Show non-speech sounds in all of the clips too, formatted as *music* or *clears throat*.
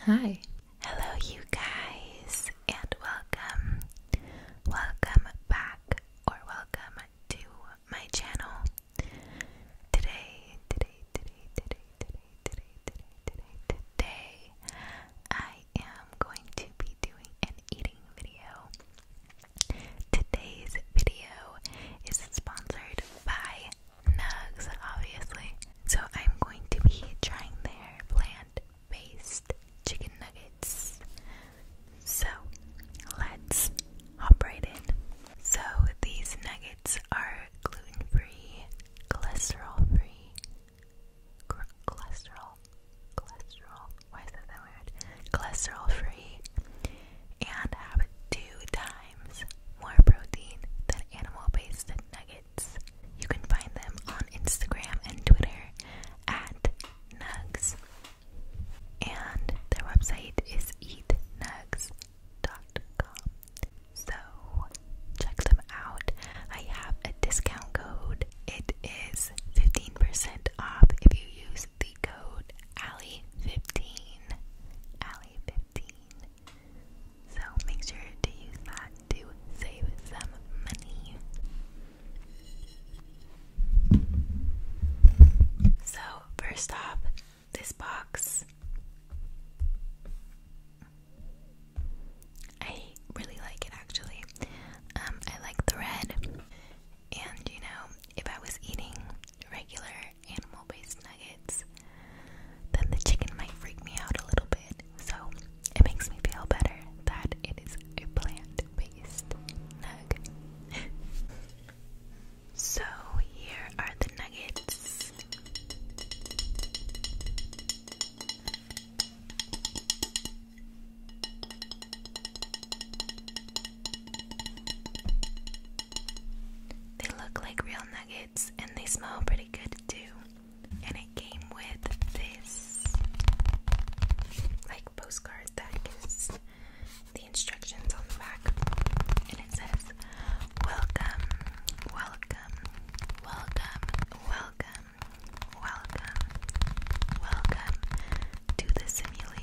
Hi. Hello, you guys, and welcome. Welcome back, or welcome to my channel. Today, today, today, today, today, today, today, today, today, I am going to be doing an eating video. Today's video is sponsored by Nugs, obviously. So I'm going to be trying their plant-based chicken nuggets. So let's hop right in. So these nuggets are gluten-free, cholesterol-free, cholesterol, cholesterol. Why is that that word? Cholesterol-free, and have two. Dive more protein than animal-based nuggets. You can find them on Instagram and Twitter at Nugs. And their website is eatnugs.com. So check them out. I have a discount code. It is 15% off if you use the code ALLY15. ALLY15. So make sure to use that to save some money. So, first off, this box. I really like it actually. Um, I like the red. And you know, if I was eating regular animal based nuggets, then the chicken might freak me out a little bit. So it makes me feel better that it is a plant based nug. *laughs* so here are the nuggets. They look like real nuggets and they smell pretty good too. And it came with this like postcard that is the instructions on the back. And it says, Welcome, welcome, welcome, welcome, welcome, welcome to the simulation.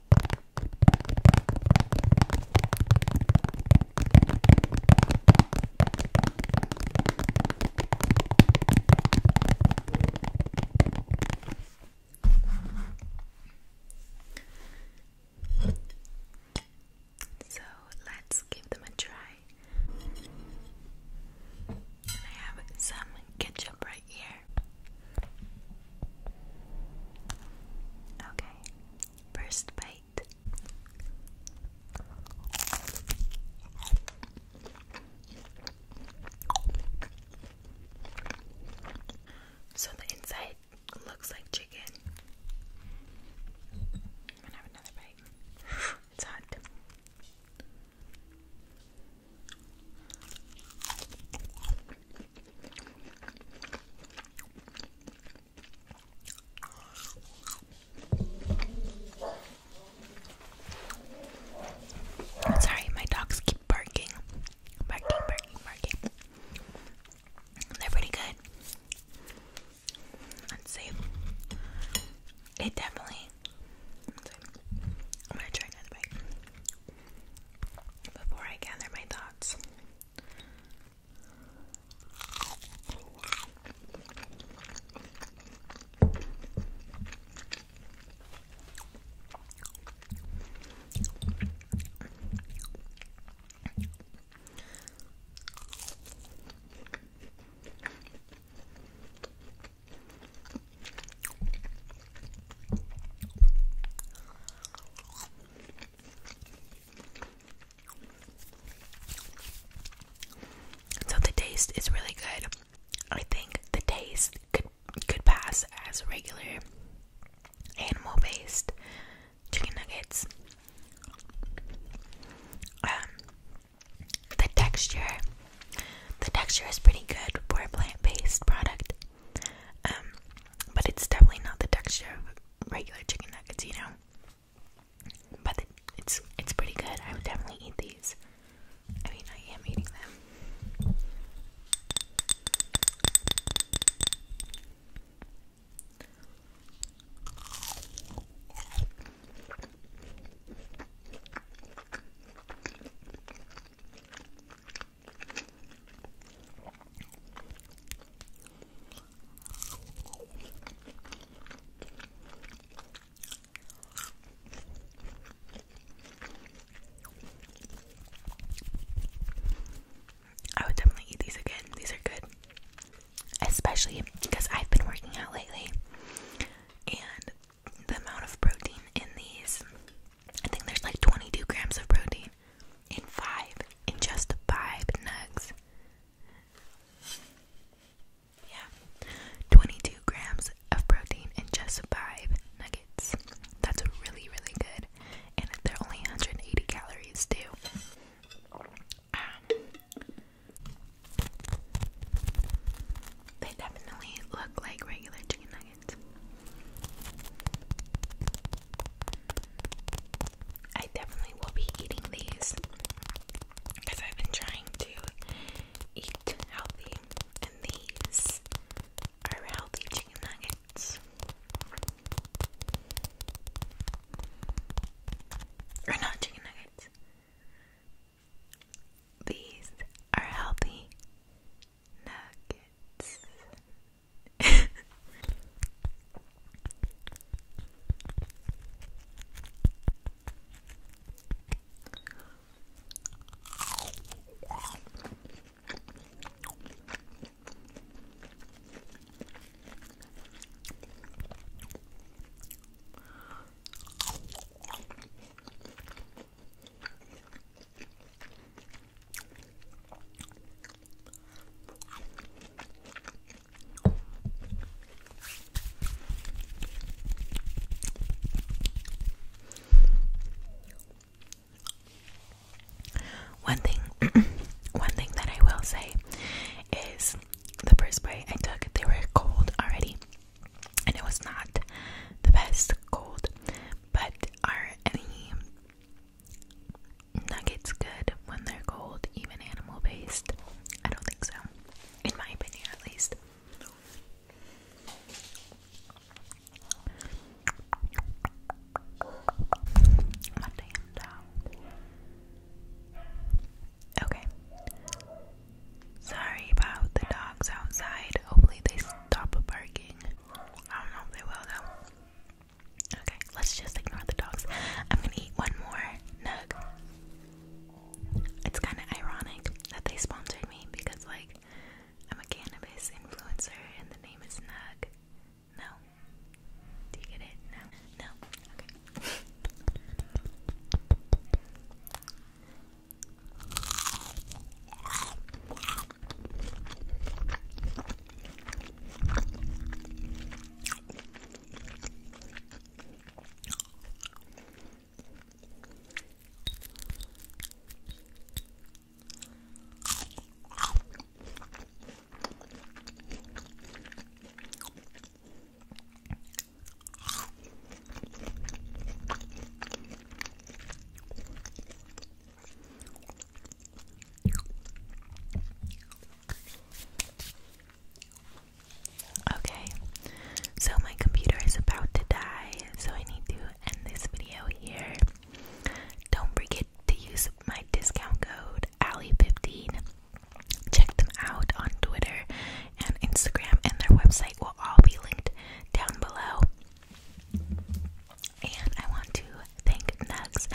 So let's give them a try. And I have some ketchup right here. Okay, first bite. So the inside looks like chicken. I'm gonna have another bite. *sighs* It's hot sorry, my dogs keep barking. Barking, barking, barking. They're pretty good. Let's see. It definitely I'm gonna try another bite before I gather my thoughts. So the taste is really good. I think the taste could could pass as regular animal based chicken nuggets. Um, the texture, the texture is pretty good for a plant-based product, um, but it's definitely not the texture of regular chicken nuggets, you know. But it's it's pretty good. I would definitely eat these. I mean, I am eating them. I would definitely eat these again. These are good especially because I've been working out lately, and the amount of protein in these I think there's like 22 grams of protein in five, in just five nugs. Yeah, 22 grams of protein in just five nuggets. That's really, really good. And they're only 180 calories, too. Um, they definitely look like regular chicken nuggets. I definitely will be eating these because I've been trying to eat healthy, and these are healthy chicken nuggets. Are not chicken nuggets. These are healthy nuggets. *laughs* One thing *clears throat* one thing that I will say is the first bite I took, they were cold already, and it was not the best cold. But are any nuggets good when they're cold, even animal based? I don't think so, in my opinion, at least. Okay. Sorry about the dogs outside. Hopefully they stop barking. I don't know if they will though. Okay, let's just ignore the dogs. I'm gonna eat one more nug. It's kind of ironic that they sponsored me because, like, I'm a cannabis influencer and the name is Nug. No. Do you get it? No. No. Okay. Okay, so my computer is about to die, so I need to end this video here. Don't forget to use my discount code ali 15 Check them out on Twitter and Instagram, and their website will all be linked down below. And I want to thank Nugs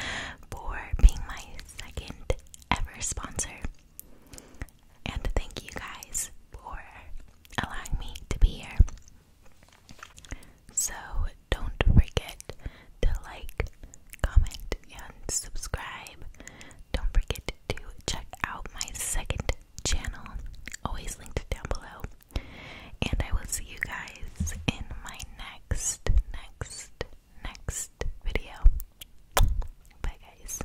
for being my second ever sponsor. And thank you guys for allowing me to be here. So don't forget to like, comment, and subscribe. Don't forget to check out my second channel, always linked down below. And I will see you guys in my next, next, next video. Bye, guys.